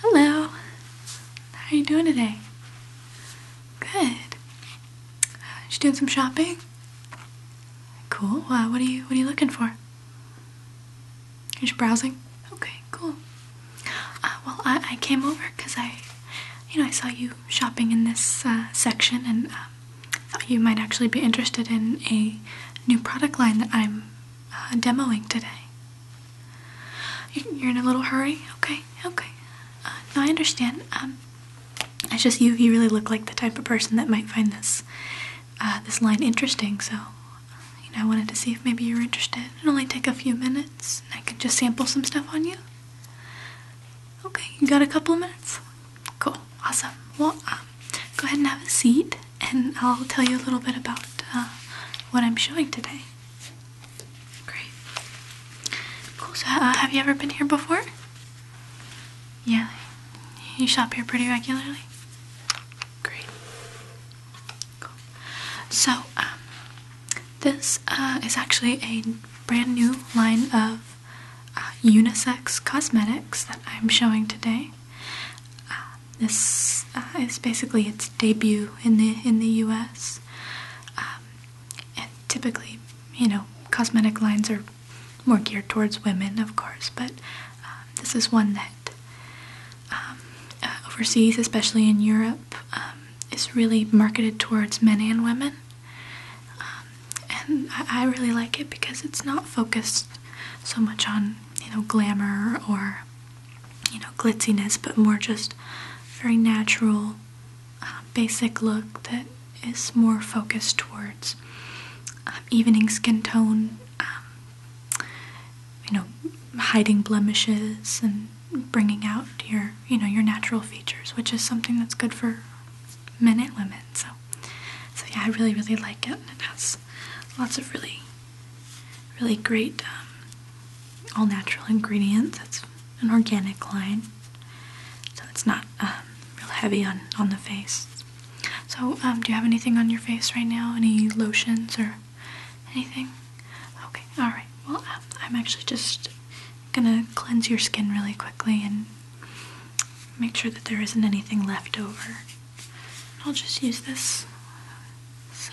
Hello. How are you doing today? Good. She doing some shopping? Cool. what are you What are you looking for? You're just browsing. Okay cool. Uh, well, I, came over because I, you know, I saw you shopping in this uh, section and uh, thought you might actually be interested in a new product line that I'm uh, demoing today. You're in a little hurry? Okay, okay. no, I understand. Um, it's just you, you really look like the type of person that might find this, this line interesting, so, you know, I wanted to see if maybe you are interested. It'll only take a few minutes. I can just sample some stuff on you? Okay, you got a couple of minutes? Cool, awesome. Well, um, go ahead and have a seat and I'll tell you a little bit about uh, what I'm showing today. Great. Cool, so uh, have you ever been here before? Yeah, you shop here pretty regularly? Great. So, um, this uh, is actually a brand new line of uh, unisex cosmetics that I'm showing today. Uh, this is basically its debut in the in the U.S. Um, and typically, you know, cosmetic lines are more geared towards women, of course, but um, this is one that uh, overseas, especially in Europe, um, is really marketed towards men and women. Um, and I, really like it because it's not focused so much on, you know, glamour or, you know, glitziness, but more just very natural, uh, basic look that is more focused towards uh, evening skin tone, um, you know, hiding blemishes and bringing out your, you know, your natural features, which is something that's good for men and women. So, so yeah, I really, really like it. It has lots of really, really great um, all natural ingredients. It's an organic line, so it's not um, real heavy on on the face. So, um, do you have anything on your face right now? Any lotions or Anything? Okay, alright. Well, um, I'm actually just gonna cleanse your skin really quickly and make sure that there isn't anything left over. I'll just use this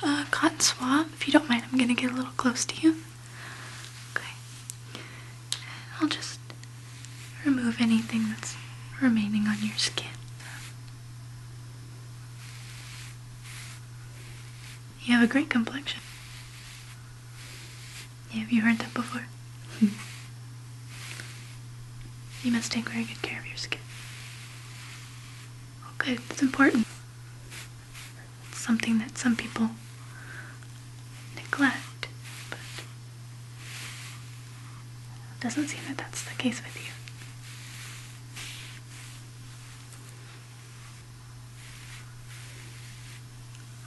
uh, cotton swab. If you don't mind, I'm gonna get a little close to you. Okay. I'll just remove anything that's remaining on your skin. You have a great complexion. have you heard that before? you must take very good care of your skin. Oh, good. It's important. It's something that some people neglect, but it doesn't seem that that's the case with you.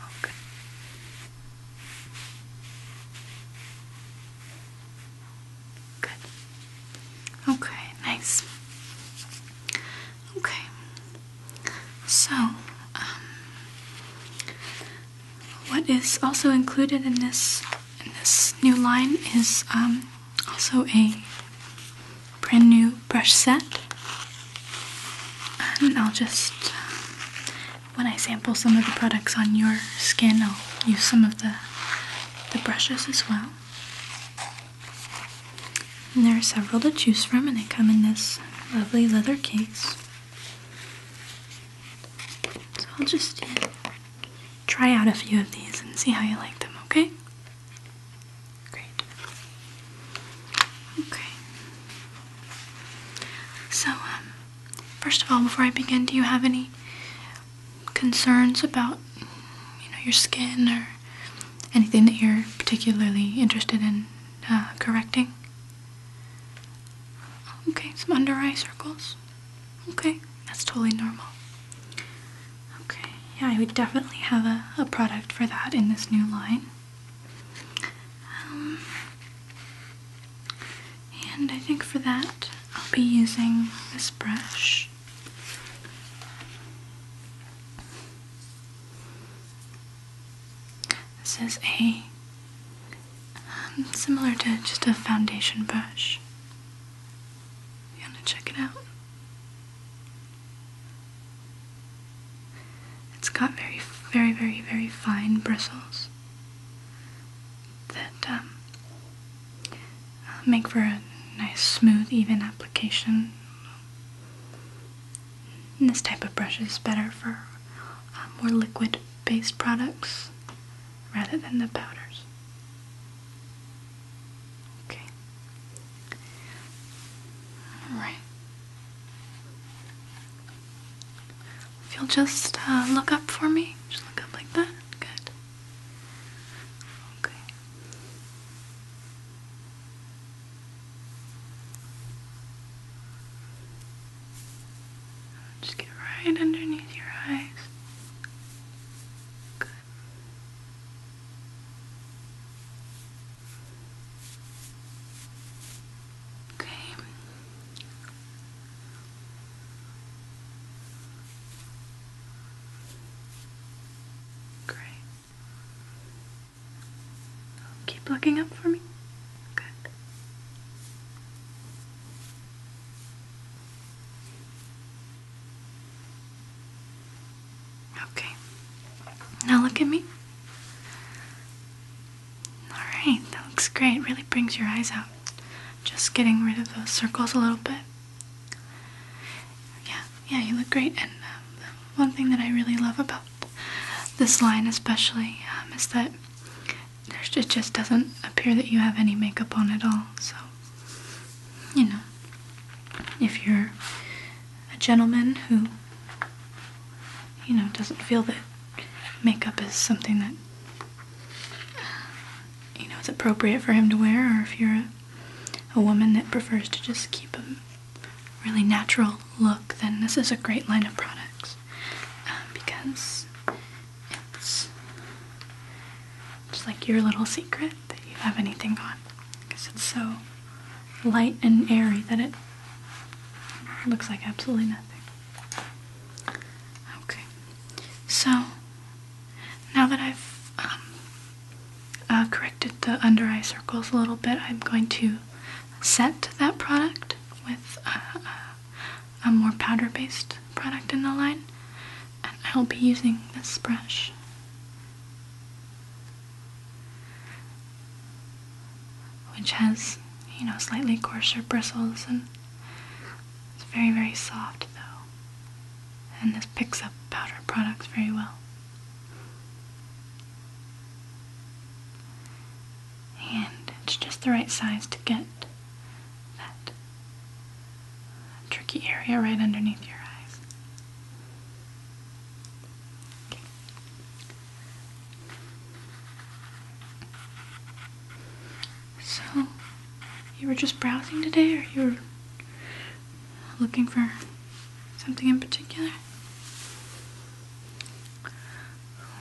Okay. Oh, good. Okay, nice. Okay. So, um, what is also included in this in this new line is um, also a brand new brush set. And I'll just, when I sample some of the products on your skin, I'll use some of the, the brushes as well. And there are several to choose from, and they come in this lovely leather case. So I'll just try out a few of these and see how you like them, okay? Great. Okay. So, um, first of all, before I begin, do you have any concerns about, you know, your skin or anything that you're particularly interested in uh, correcting? Okay, some under eye circles. Okay, that's totally normal. Okay, yeah, I would definitely have a, a product for that in this new line. Um, and I think for that, I'll be using this brush. This is a um, similar to just a foundation brush. You wanna check it out? It's got very, very, very, very fine bristles that um, make for a nice, smooth, even application. this type of brush is better for uh, more liquid based products rather than the powders. Okay. Alright. If you'll just uh, look up for me, just look up like that. Good. Okay. Just get right underneath your eyes. Good. Okay. Great. Keep looking up for me. Good. Okay. Now look at me. Alright, that looks great. Really brings your eyes out. Just getting rid of those circles a little bit. Yeah, yeah, you look great. And um, one thing that I really love about this line, especially, um, is that there's, it just doesn't appear that you have any makeup on at all. So, you know, if you're a gentleman who, you know, doesn't feel that makeup is something that, you know, is appropriate for him to wear, or if you're a, woman that prefers to just keep a really natural look, then this is a great line of products um, because it's just like your little secret that you have anything on because it's so light and airy that it looks like absolutely nothing. Okay, so now that I've um, uh, corrected the under eye circles a little bit, I'm going to set that product with uh, uh, a more powder based product in the line, and I'll be using this brush. Which has, you know, slightly coarser bristles and it's very, very soft though. And this picks up powder products very well. And it's just the right size to get that tricky area right underneath your eyes. So, you were just browsing today, or you were looking for something in particular?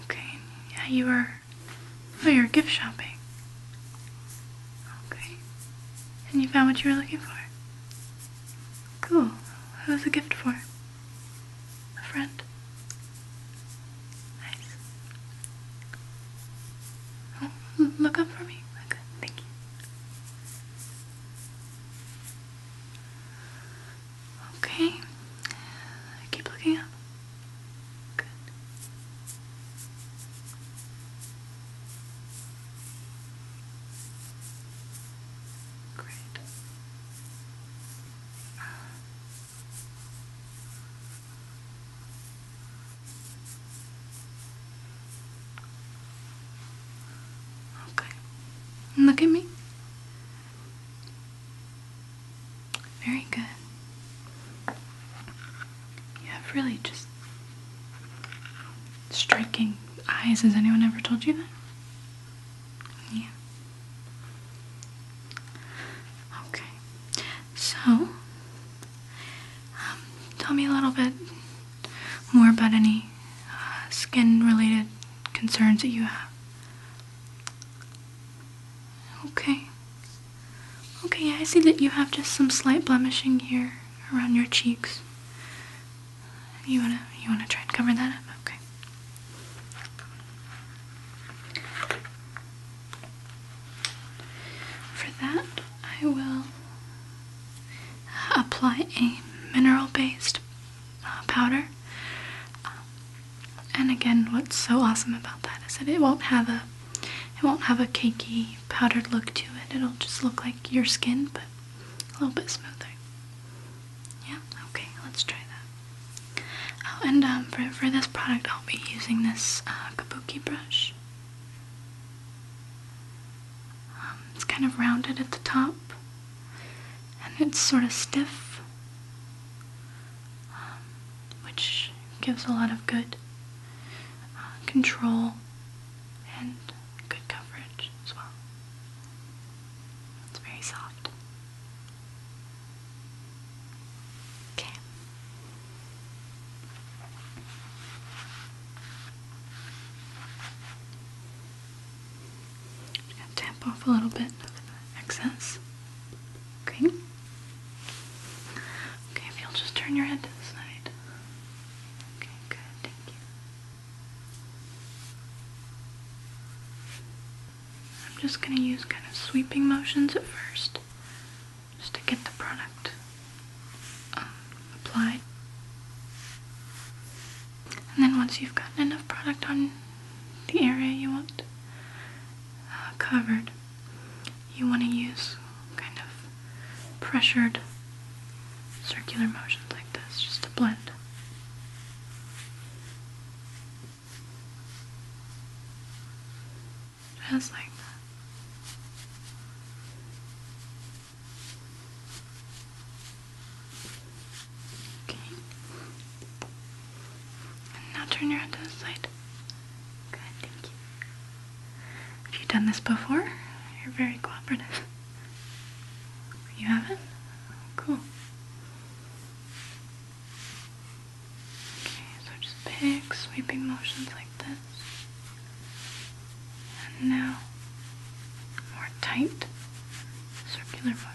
Okay, yeah, you were oh you're gift shopping okay and you found what you were looking for cool Who was the gift for a friend nice oh, look up for me look thank you Okay. Keep looking up. Good. Great. Okay. Look at me. Very good. You have really just striking eyes. Has anyone ever told you that? Yeah. Okay. So, um, tell me a little bit more about any uh, skin related concerns that you have. Okay. Okay, I see that you have just some slight blemishing here around your cheeks. You wanna you wanna try and cover that up? Okay. For that, I will apply a mineral-based uh, powder. Um, and again, what's so awesome about that is that it won't have a it won't have a cakey powdered look to it. It'll just look like your skin, but a little bit smoother. Yeah, okay, let's try that. Oh, and um, for, for this product, I'll be using this uh, kabuki brush. Um, it's kind of rounded at the top, and it's sort of stiff. Um, which gives a lot of good uh, control and good coverage as well. It's very soft. Okay. i going to tap off a little bit of excess. Okay. Okay, if you'll just turn your head to the side. Okay, good, thank you. I'm just going to use kind of sweeping motions at first, just to get the product um, applied. And then once you've gotten enough product on the area you want uh, covered, you want to use kind of pressured circular motions like this just to blend. Just like that. Okay. now turn your head to the side. Good, thank you. Have you done this before? You're very cooperative. You haven't? Cool. Okay, so just big sweeping motions like this. And now more tight circular motions.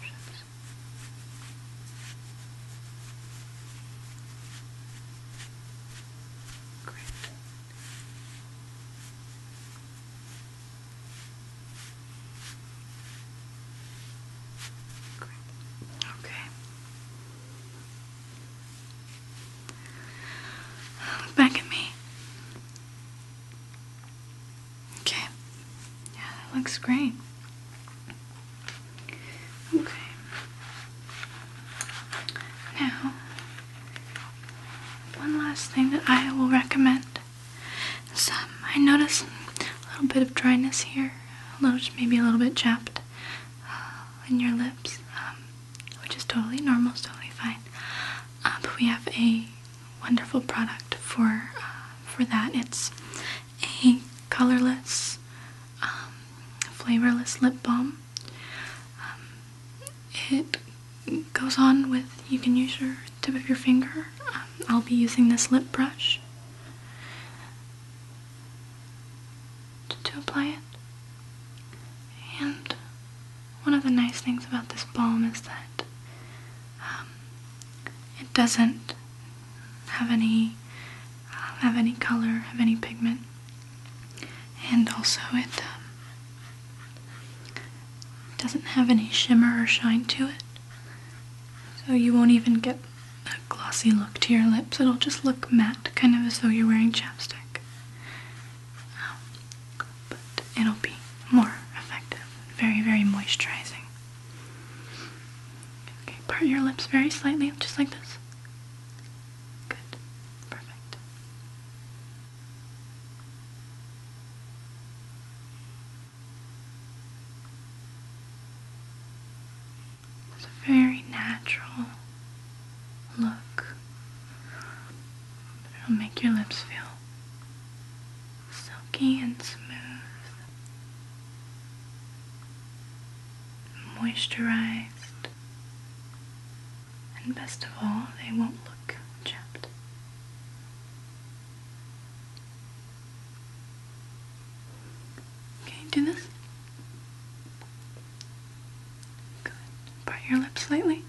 Great. Okay. Look back at me. Okay. Yeah, that looks great. Okay. Now, one last thing that I will recommend I noticed a little bit of dryness here, a little, maybe a little bit chapped uh, in your lips, um, which is totally normal, totally fine. Uh, but we have a wonderful product for uh, for that. It's a colorless, um, flavorless lip balm. Um, it goes on with, you can use your tip of your finger. Um, I'll be using this lip brush to, apply it. And one of the nice things about this balm is that it doesn't have any have any color, have any pigment, and also it um, doesn't have any shimmer or shine to it. So you won't even get a glossy look to your lips. It'll just look matte, kind of as though you're wearing chapstick. Um, but it'll be more effective, very very moisturizing. Okay, part your lips very slightly, just like this. Good. Perfect. It's a very natural look. It'll make your lips feel silky and smooth, moisturized, and best of all, they won't look chapped. Okay, do this. Good. Part your lips slightly.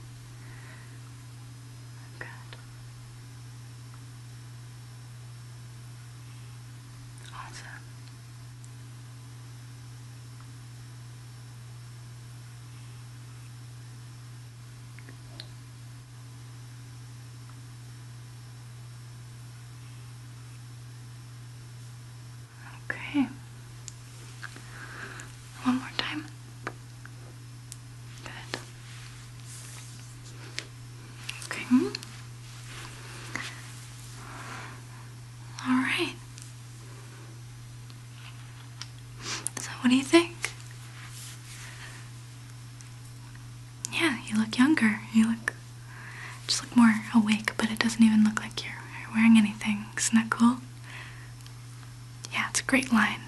Good. Awesome. Okay. One more time. Good. Okay. Hmm? All right. So, what do you think? Yeah, you look younger. You look just look more awake, but it doesn't even look like you're wearing anything. Isn't that cool? Yeah, it's a great line.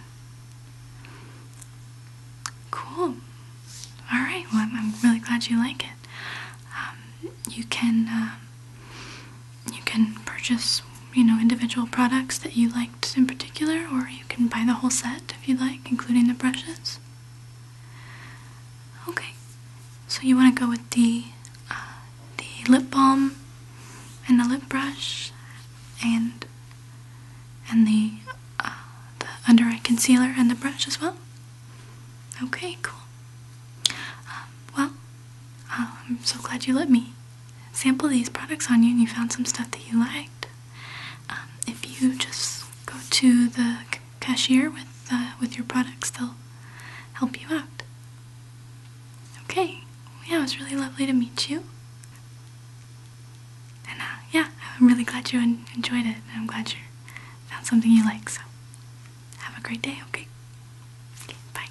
Cool. All right. Well, I'm, really glad you like it. Um, you can uh, you can purchase you know individual products that you liked in particular, or you can buy the whole set if you like, including the brushes. Okay. So you want to go with the uh, the lip balm and the lip brush and and the, uh, the under eye concealer and the brush as well? Okay, cool. Um, well, I'm um, so glad you let me sample these products on you and you found some stuff that you liked. Um, if you just go to the cashier with, uh, with your products, they'll help you out. Okay, yeah, it was really lovely to meet you. And uh, yeah, I'm really glad you enjoyed it, and I'm glad you found something you like. So, have a great day, okay? okay bye.